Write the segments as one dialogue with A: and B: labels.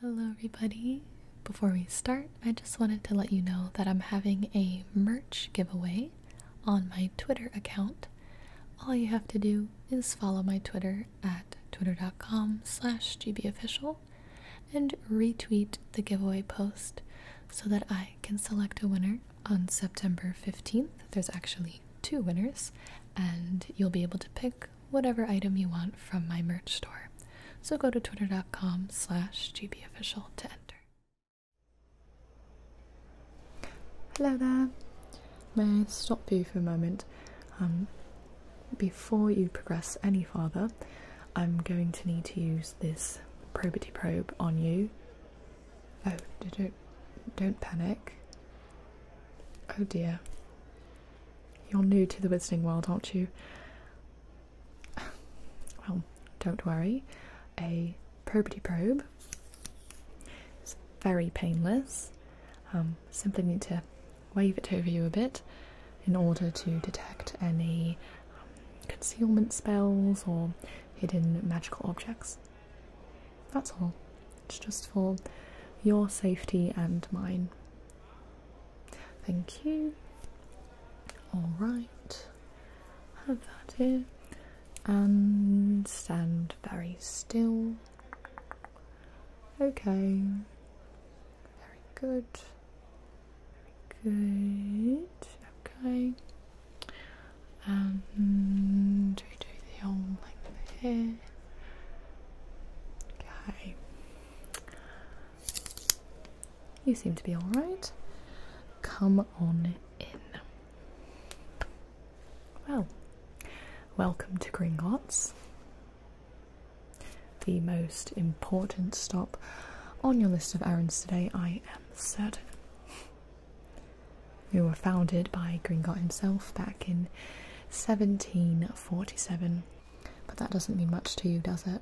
A: Hello, everybody. Before we start, I just wanted to let you know that I'm having a merch giveaway on my Twitter account. All you have to do is follow my Twitter at twitter.com slash gbofficial and retweet the giveaway post so that I can select a winner on September 15th. There's actually two winners, and you'll be able to pick whatever item you want from my merch store. So go to twitter.com slash gbofficial to enter. Hello there. May I stop you for a moment? Um, before you progress any further, I'm going to need to use this probity probe on you. Oh, don't don't panic. Oh dear. You're new to the wizarding world, aren't you? Well, don't worry. A probity probe is very painless. Um, simply need to wave it over you a bit in order to detect any um, concealment spells or hidden magical objects. That's all. It's just for your safety and mine. Thank you. Alright, have that here. And stand very still. Okay. Very good. Very good. Okay. And we do the whole length here. Okay. You seem to be alright. Come on in. Well, welcome to Gringotts, the most important stop on your list of errands today, I am certain. We were founded by Gringott himself back in 1747 but that doesn't mean much to you, does it?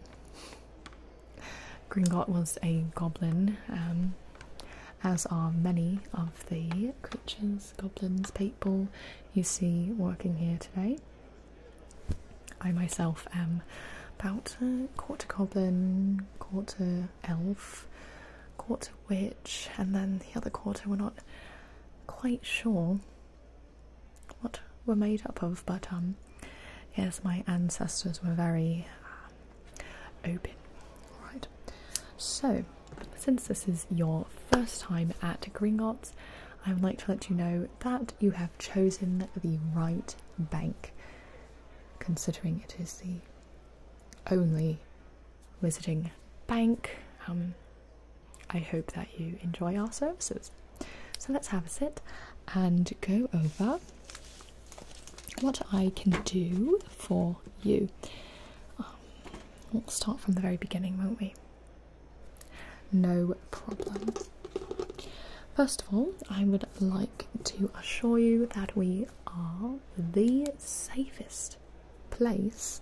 A: Gringot was a goblin, um, as are many of the creatures, goblins, people you see working here today. I myself am about quarter goblin, quarter elf, quarter witch, and then the other quarter we're not quite sure what we're made up of, but um, yes, my ancestors were very um, open. Right, so since this is your first time at Gringotts, I would like to let you know that you have chosen the right bank, considering it is the only visiting bank. Um, I hope that you enjoy our services. So let's have a sit and go over what I can do for you. Um, we'll start from the very beginning, won't we? No problem. First of all, I would like to assure you that we are the safest place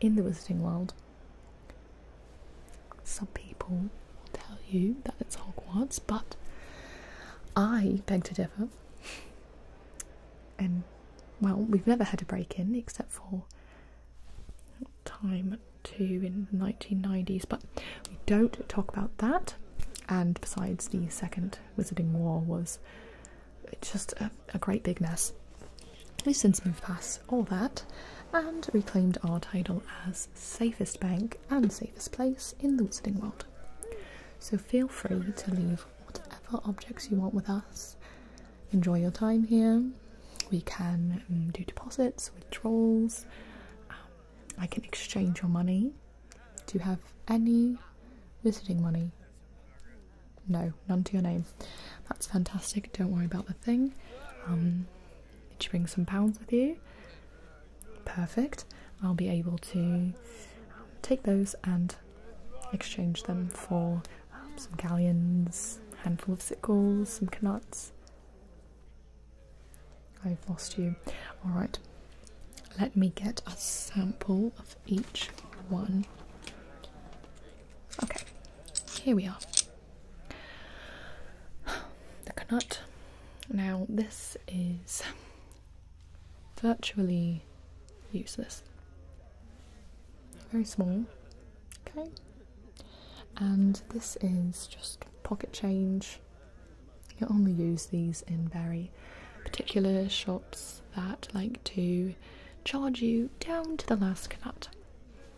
A: in the visiting world some people will tell you that it's Hogwarts, but I beg to differ. and well, we've never had a break in except for time two in the 1990s, but we don't talk about that. And besides, the second Wizarding War was just a, a great big mess. We've since moved past all that, and reclaimed our title as safest bank and safest place in the Wizarding World. So feel free to leave whatever objects you want with us. Enjoy your time here. We can um, do deposits, withdrawals. Um, I can exchange your money. Do you have any Wizarding money? No, none to your name. That's fantastic. Don't worry about the thing. Um, did you bring some pounds with you? Perfect. I'll be able to um, take those and exchange them for um, some galleons, handful of sickles, some canuts. I've lost you. Alright, let me get a sample of each one. Okay, here we are the Canut. Now, this is virtually useless. Very small, okay. And this is just pocket change. You only use these in very particular shops that like to charge you down to the last canut.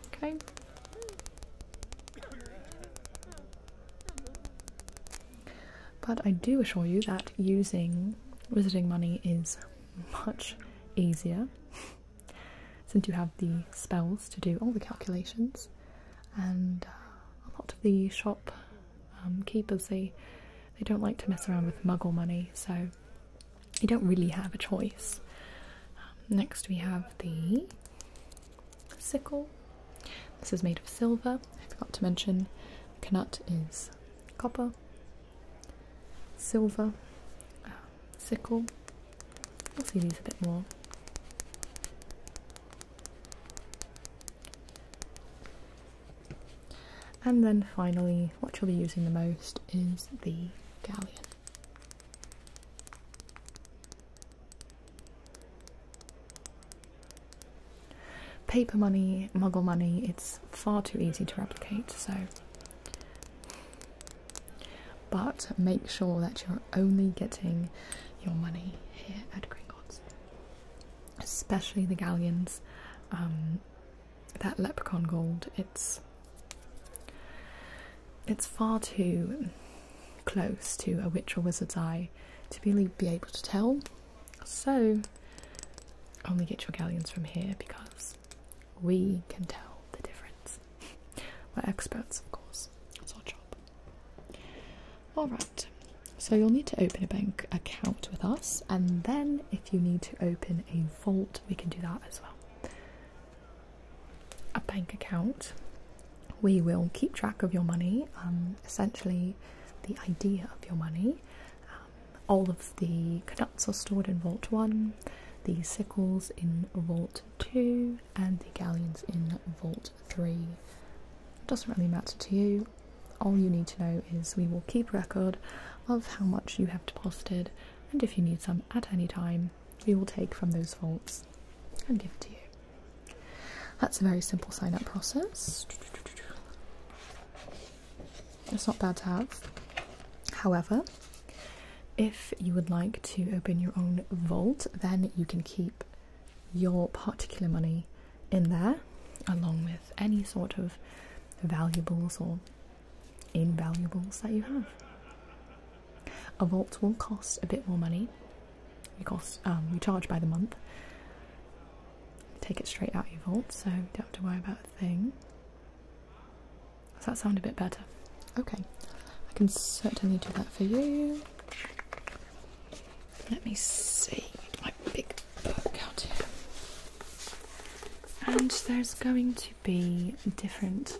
A: Okay. But I do assure you that using wizarding money is much easier since you have the spells to do all the calculations and uh, a lot of the shop um, keepers they they don't like to mess around with muggle money so you don't really have a choice um, next we have the sickle. This is made of silver. I forgot to mention Knut is copper, silver, uh, sickle. We'll see these a bit more. And then finally, what you'll be using the most is the galleon. Paper money, muggle money, it's far too easy to replicate, so. But make sure that you're only getting your money here at Gringotts, especially the galleons. Um, that leprechaun gold, it's it's far too close to a witch or wizard's eye to really be able to tell. So, only get your galleons from here because we can tell the difference. We're experts, of course. It's our job. Alright, so you'll need to open a bank account with us, and then if you need to open a vault, we can do that as well a bank account. We will keep track of your money, um, essentially, the idea of your money. Um, all of the canuts are stored in Vault 1, the sickles in Vault 2, and the galleons in Vault 3. It doesn't really matter to you. All you need to know is we will keep record of how much you have deposited, and if you need some at any time, we will take from those vaults and give it to you. That's a very simple sign up process. It's not bad to have. However, if you would like to open your own vault, then you can keep your particular money in there along with any sort of valuables or invaluables that you have. A vault will cost a bit more money. You cost um, you charge by the month. Take it straight out of your vault, so don't have to worry about a thing. Does that sound a bit better? Okay, I can certainly do that for you. Let me see my big book out here. And there's going to be different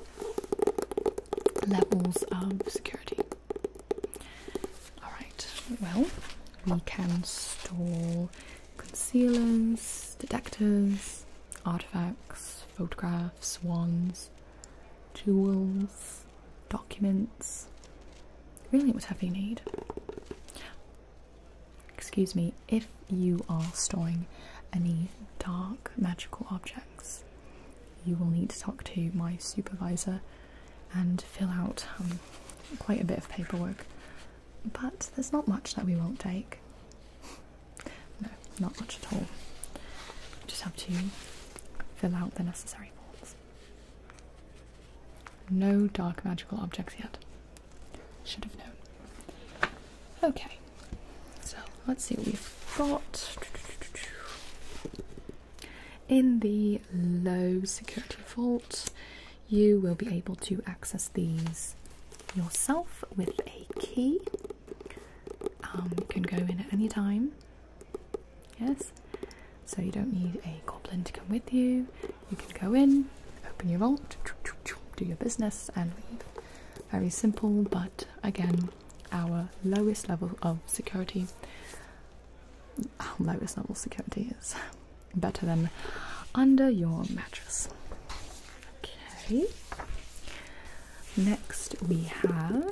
A: levels of security. Alright, well, we can store concealers, detectors, artifacts, photographs, wands, jewels, documents, really whatever you need. Excuse me, if you are storing any dark magical objects, you will need to talk to my supervisor and fill out um, quite a bit of paperwork. But there's not much that we won't take. No, not much at all. just have to fill out the necessary forms. No dark magical objects yet. Should have known. Okay, so let's see what we've got in the low security vault, you will be able to access these yourself with a key. Um, you can go in at any time. Yes, so you don't need a goblin to come with you. You can go in, open your vault, do your business, and leave. Very simple, but again, our lowest level of security. lowest level security is better than under your mattress. Okay. Next, we have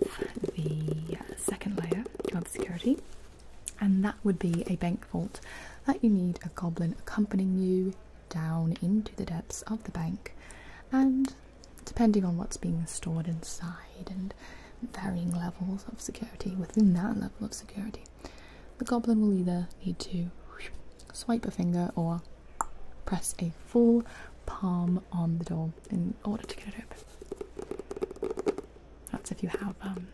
A: the second layer of security, and that would be a bank vault that you need a goblin accompanying you down into the depths of the bank and depending on what's being stored inside and varying levels of security within that level of security. The goblin will either need to swipe a finger or press a full palm on the door in order to get it open. That's if you have um,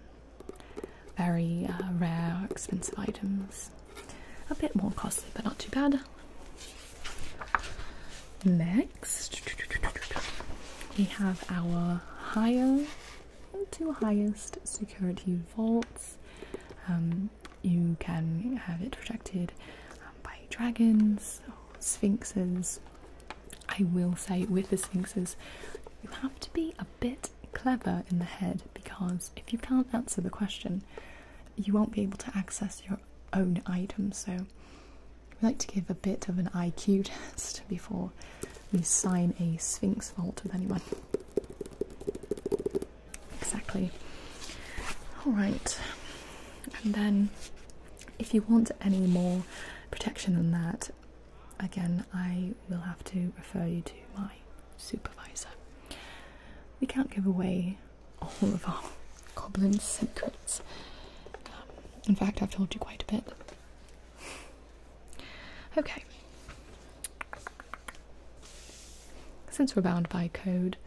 A: very uh, rare, expensive items. A bit more costly, but not too bad. Next, we have our higher to highest security vaults. Um, you can have it protected um, by dragons or sphinxes. I will say, with the sphinxes, you have to be a bit clever in the head because if you can't answer the question, you won't be able to access your own items. So we like to give a bit of an IQ test before we sign a Sphinx vault with anyone. Exactly. Alright, and then if you want any more protection than that, again, I will have to refer you to my supervisor. We can't give away all of our Goblin secrets. Um, in fact, I've told you quite a bit. Okay. Since we're bound by code,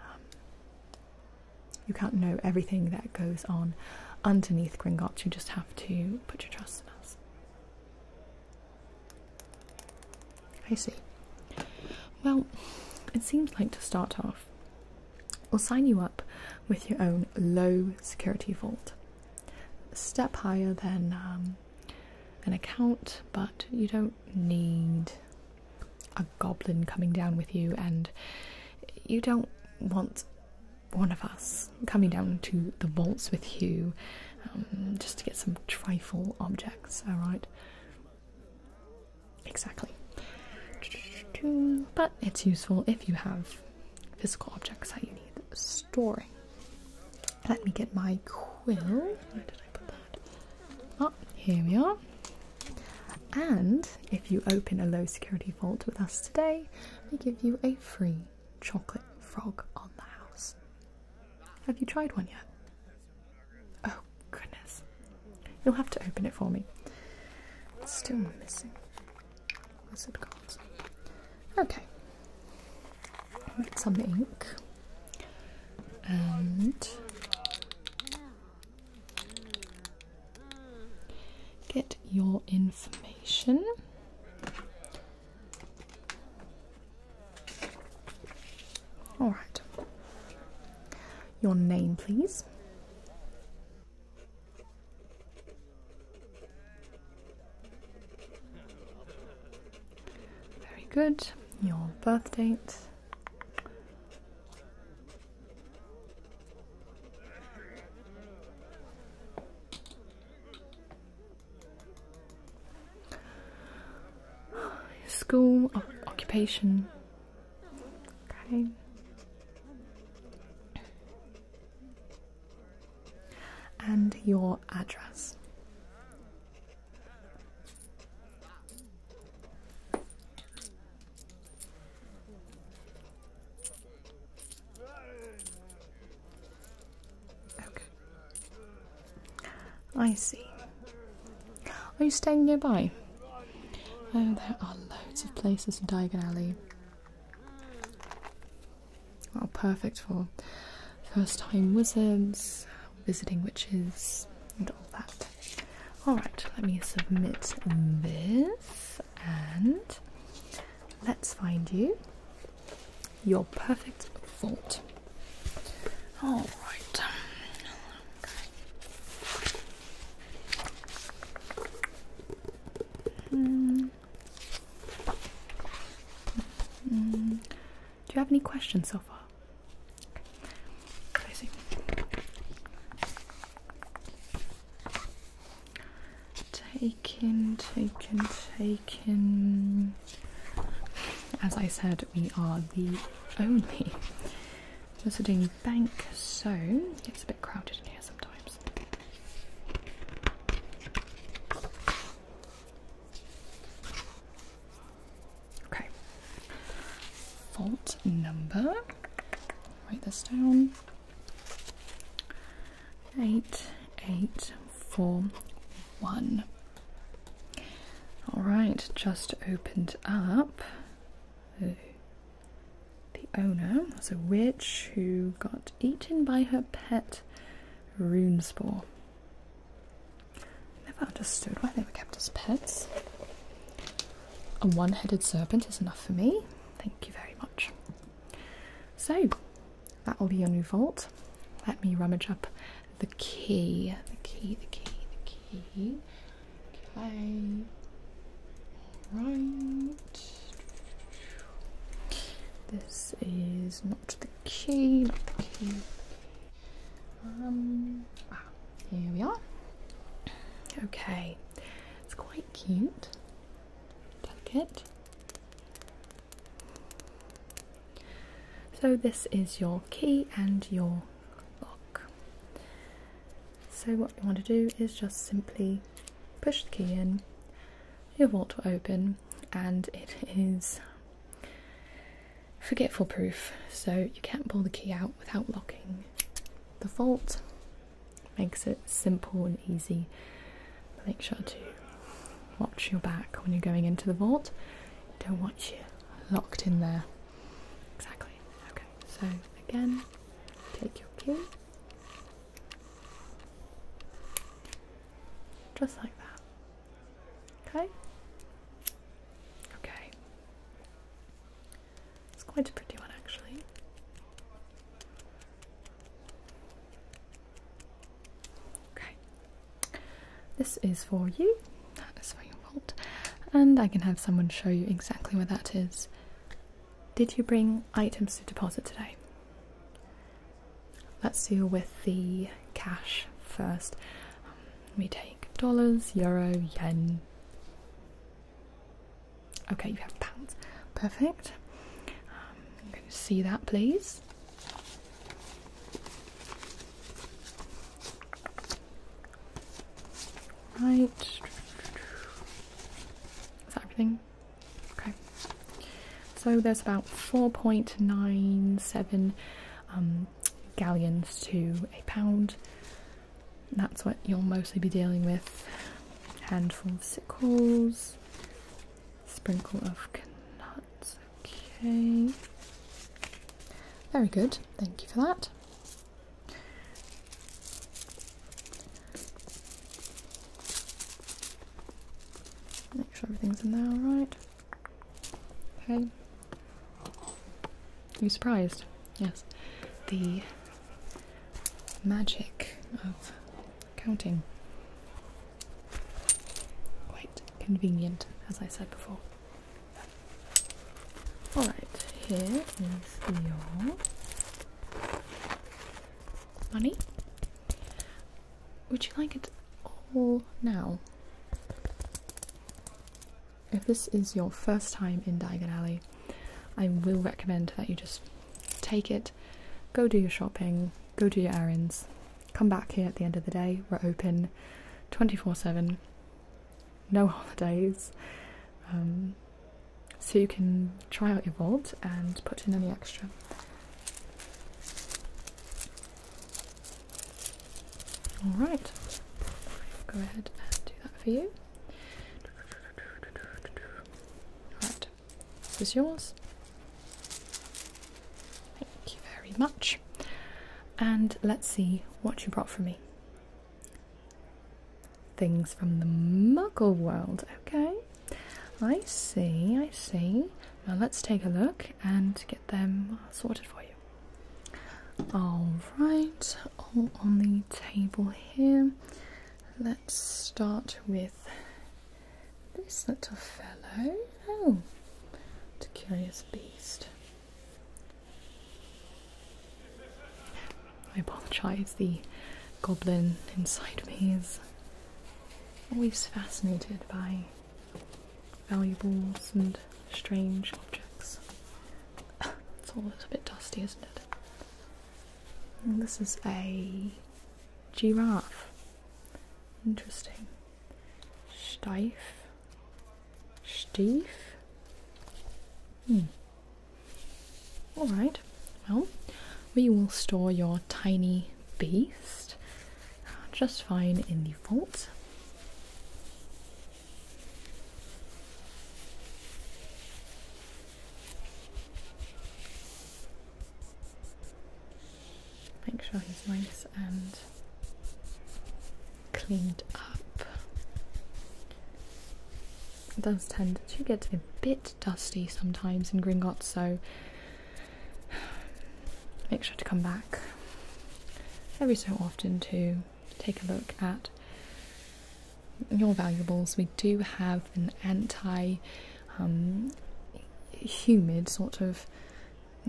A: um, you can't know everything that goes on underneath Gringotts. You just have to put your trust in us. I see. Well, it seems like to start off, or sign you up with your own low security vault. A step higher than um, an account, but you don't need a goblin coming down with you, and you don't want one of us coming down to the vaults with you um, just to get some trifle objects, alright? Exactly. But it's useful if you have physical objects that you need storing. Let me get my quill. Where did I put that? Ah, here we are. And if you open a low security vault with us today, we give you a free chocolate frog on the house. Have you tried one yet? Oh, goodness. You'll have to open it for me. still missing wizard cards. Okay. Get some ink. And get your information. All right. Your name, please. Very good. Your birth date. School, occupation, Okay. And your address. Okay. I see. Are you staying nearby? Oh, there are loads of places in Diagon Alley. Well, oh, perfect for first time wizards, visiting witches, and all that. Alright, let me submit this and let's find you your perfect fault. Alright. Hmm. Do you have any questions so far? Okay. I see. Taken, taken, taken. As I said, we are the only visiting bank, so it's a bit crowded in here sometimes. Okay. Fault number. Write this down. Eight, eight, four, one. All right, just opened up. The owner was a witch who got eaten by her pet rune spore. Never understood why they were kept as pets. A one headed serpent is enough for me. Thank you very much. So, that'll be your new vault. Let me rummage up the key. The key, the key, the key. Okay. Right. This is not the key, not the key. Um, ah, here we are. Okay, it's quite cute. Delicate. So this is your key and your lock. So what you want to do is just simply push the key in, your vault will open and it is forgetful proof so you can't pull the key out without locking the vault. Makes it simple and easy. Make sure to watch your back when you're going into the vault. Don't want you locked in there. Exactly. Okay, so again, take your key just like that. Okay? Okay. It's quite a pretty one actually. Okay. This is for you. That is for you, vault. And I can have someone show you exactly where that is. Did you bring items to deposit today? Let's deal with the cash first. Um, we take dollars, euro, yen. Okay, you have pounds. Perfect. Um, i see that, please. Right. Is that everything? Okay, so there's about 4.97 um, galleons to a pound. That's what you'll mostly be dealing with. Handful of sickles, sprinkle of nuts. Okay, very good. Thank you for that. Make sure everything's in there alright. Okay. You surprised? Yes. The magic of counting. Quite convenient, as I said before. Alright, here is your money. Would you like it all now? If this is your first time in Diagon Alley, I will recommend that you just take it, go do your shopping, go do your errands, come back here at the end of the day. We're open 24 7, no holidays. Um, so you can try out your vault and put in any extra. Alright, go ahead and do that for you. Alright, this is yours. Thank you very much. And let's see what you brought for me things from the muggle world. Okay, I see, I see. Well, let's take a look and get them sorted for you. All right, all on the table here. Let's start with this little fellow. Oh, it's a curious beast. I apologise, the goblin inside me is always fascinated by valuables and strange objects. it's all a bit dusty, isn't it? this is a giraffe. Interesting. Steif. Steif? Hmm. Alright, well, we will store your tiny beast uh, just fine in the vault. Make sure he's nice and cleaned up. It does tend to get a bit dusty sometimes in Gringotts, so make sure to come back every so often to take a look at your valuables. We do have an anti um, humid sort of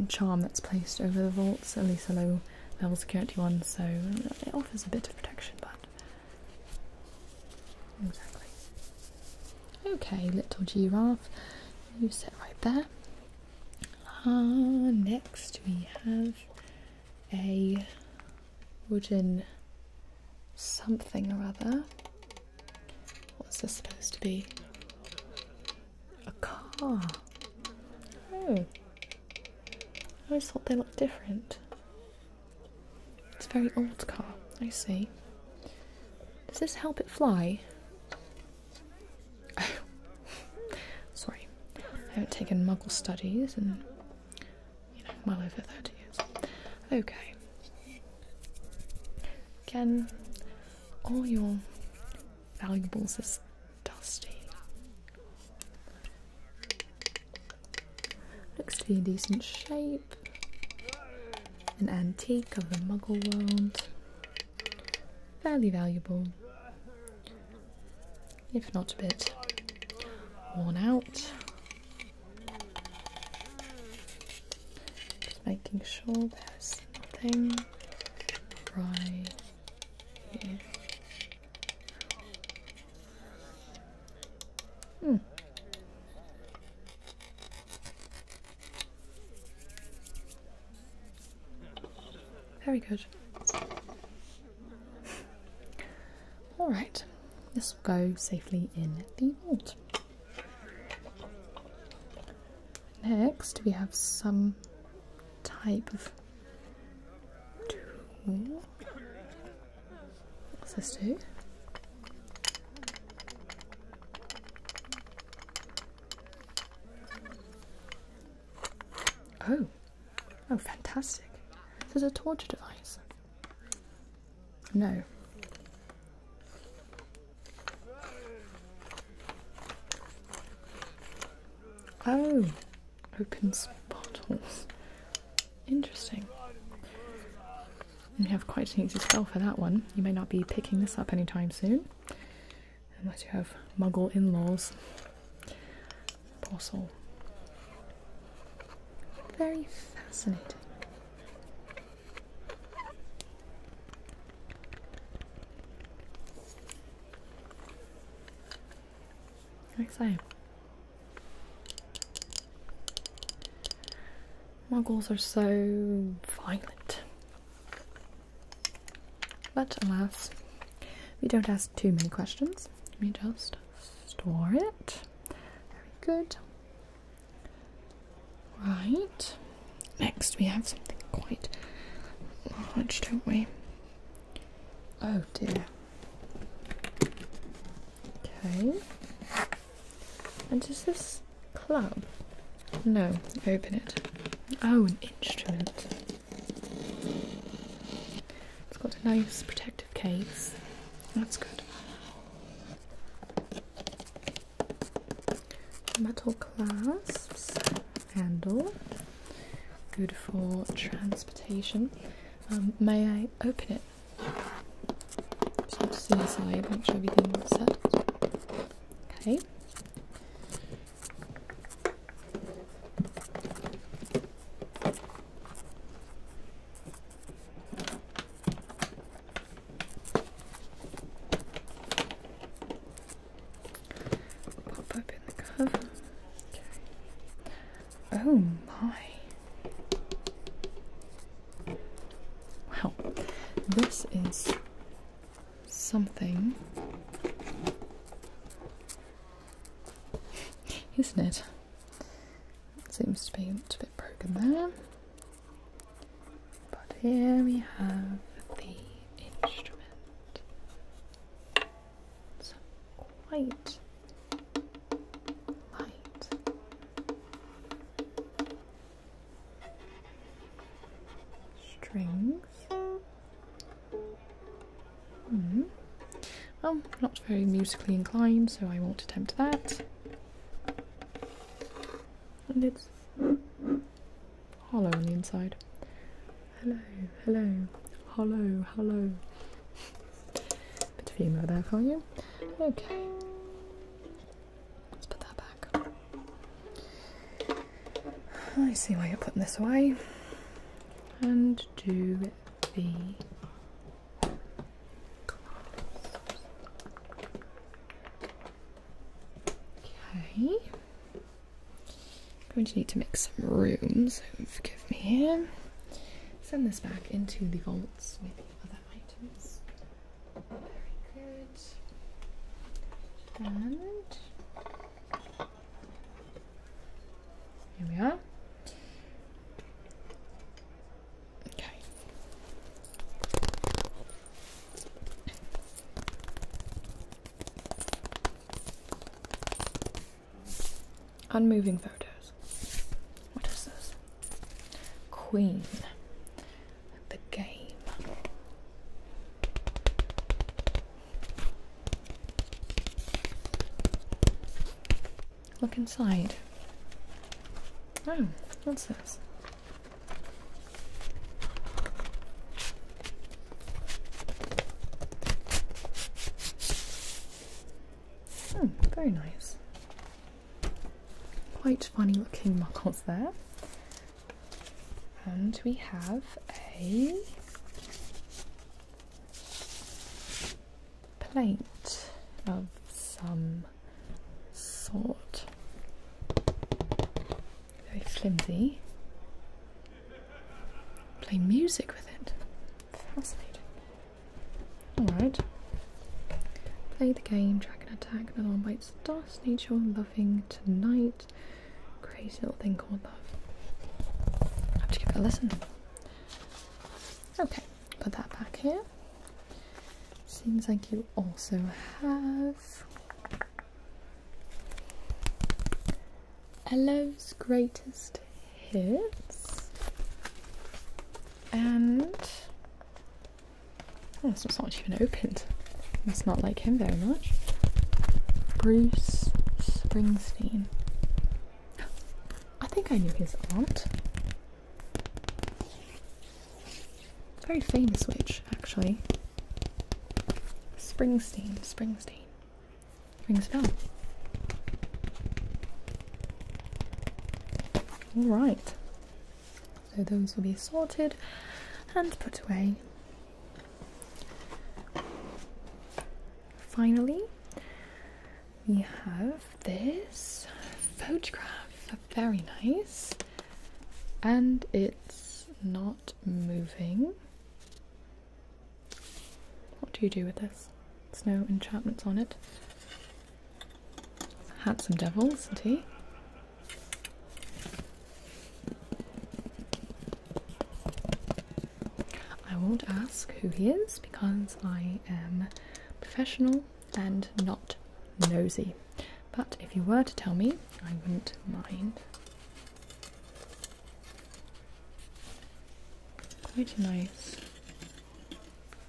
A: charm that's placed over the vaults, at least a low level security one, so it offers a bit of protection, but Okay, little giraffe, you sit right there. Ah, next, we have a wooden something or other. What's this supposed to be? A car. Oh. I always thought they looked different. It's a very old car, I see. Does this help it fly? sorry. I haven't taken muggle studies and you know, well over 30 years. Okay. Again, all your valuables is dusty. Looks to be in decent shape an antique of the Muggle world. Fairly valuable, if not a bit worn out. Just making sure there's nothing right here. Hmm. Very good. Alright, this will go safely in the vault. Next, we have some type of What's this do? Oh, oh, fantastic! This is a torture device. No. Oh, opens bottles. Interesting. We have quite an easy spell for that one. You may not be picking this up anytime soon, unless you have muggle in laws. Poor Very fascinating. Like Muggles are so violent. But alas, we don't ask too many questions. We just store it. Very good. Right. Next, we have something quite large, don't we? Oh dear. Okay. And does this club? No, open it. Oh, an instrument. It's got a nice protective case. That's good. Metal clasps, handle, good for transportation. Um, may I open it? Just to the side, make sure everything's set. Okay. Pop open the cover. Okay. Oh my. Wow, this is something, isn't it? it? Seems to be a bit broken there. But here we have the instrument. quite light strings. Hmm. Well, not very musically inclined, so I won't attempt that. And it's hollow on the inside. Hello, hello, hello, hello. Bit of humour there for you. Okay. Let's put that back. I see why you're putting this away. And do B. Okay. Going to need to make some room, so forgive me Send this back into the vaults with other items. Very good. And here we are. Okay. Unmoving photos. What is this? Queen the game. Look inside. Oh, what's this? Oh, very nice. Quite funny looking muggles there. And we have a plate of some sort. Very flimsy. Play music with it. Fascinating. Alright. Play the game, track and attack, another one by lights dust, nature loving tonight. Crazy little thing called love. I have to give it a listen. Okay, put that back here. Seems like you also have Hello's greatest hits and Oh, it's not, not even opened. It's not like him very much. Bruce Springsteen. I think I knew his aunt. Very famous witch, actually. Springsteen, Springsteen. Springsteen. Alright. So those will be sorted and put away. Finally, we have this photograph, very nice, and it's not moving. What do you do with this? There's no enchantments on it. Handsome devil, isn't he? I won't ask who he is because I am professional and not nosy. But if you were to tell me, I wouldn't mind. Quite a nice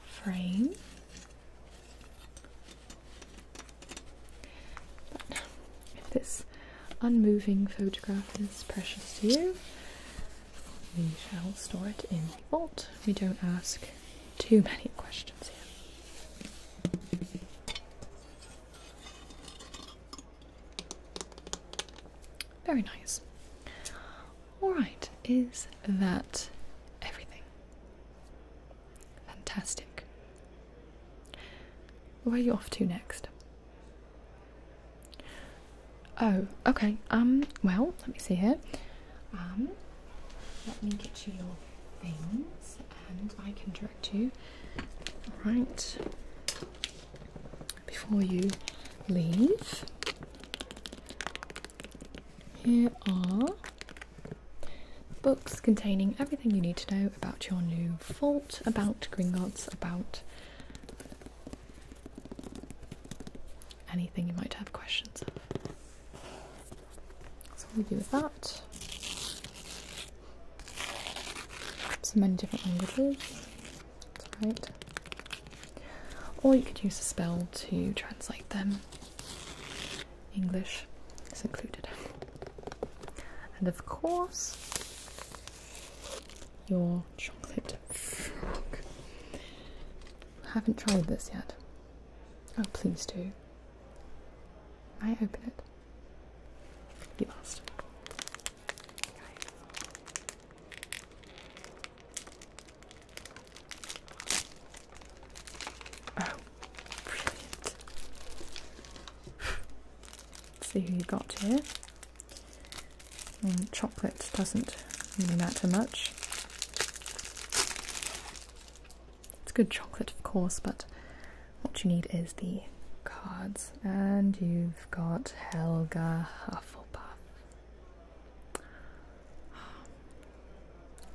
A: frame if this unmoving photograph is precious to you, we shall store it in the vault. We don't ask too many questions here. Very nice. Alright, is that everything? Fantastic. Where are you off to next? Oh, okay. Um, well, let me see here. Um, let me get you your things and I can direct you. Right Before you leave, here are Books containing everything you need to know about your new vault, about Gringotts, about anything you might have questions of. So we do with that. So many different languages. right. Or you could use a spell to translate them. English is included. And of course, your chocolate frog. Haven't tried this yet. Oh, please do. I open it. You asked. Oh see who you got here. chocolate doesn't really matter much. It's good chocolate, of course, but what you need is the cards. And you've got Helga Hufflepuff.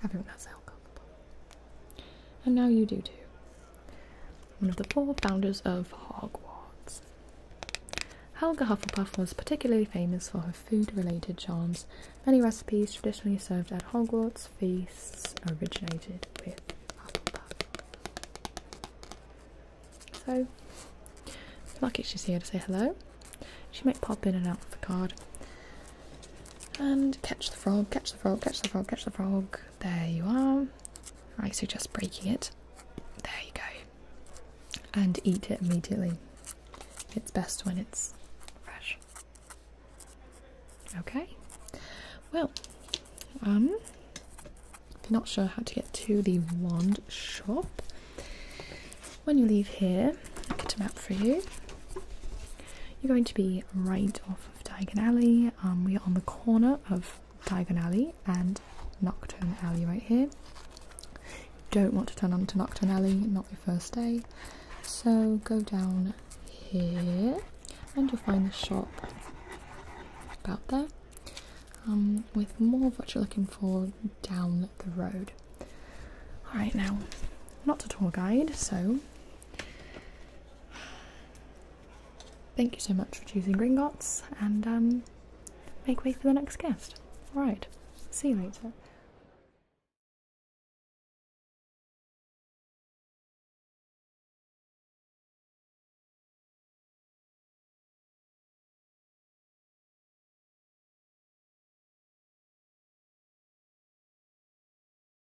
A: Everyone has Helga Hufflepuff. And now you do too. One of the four founders of Hogwarts. Helga Hufflepuff was particularly famous for her food related charms. Many recipes traditionally served at Hogwarts feasts originated with Hufflepuff. So, lucky she's here to say hello. She might pop in and out of a card. And catch the frog, catch the frog, catch the frog, catch the frog. There you are. I suggest breaking it. There you go. And eat it immediately. It's best when it's fresh. Okay. Well, um, if you're not sure how to get to the wand shop, when you leave here, I'll get a map for you. You're going to be right off of Diagon Alley. Um, we are on the corner of Diagon Alley and Nocturne Alley right here. Don't want to turn onto Nocturne Alley, not your first day. So go down here and you'll find the shop about there um, with more of what you're looking for down the road. Alright now, not a tour guide, so Thank you so much for choosing Gringotts and um, make way for the next guest. Alright, see you later.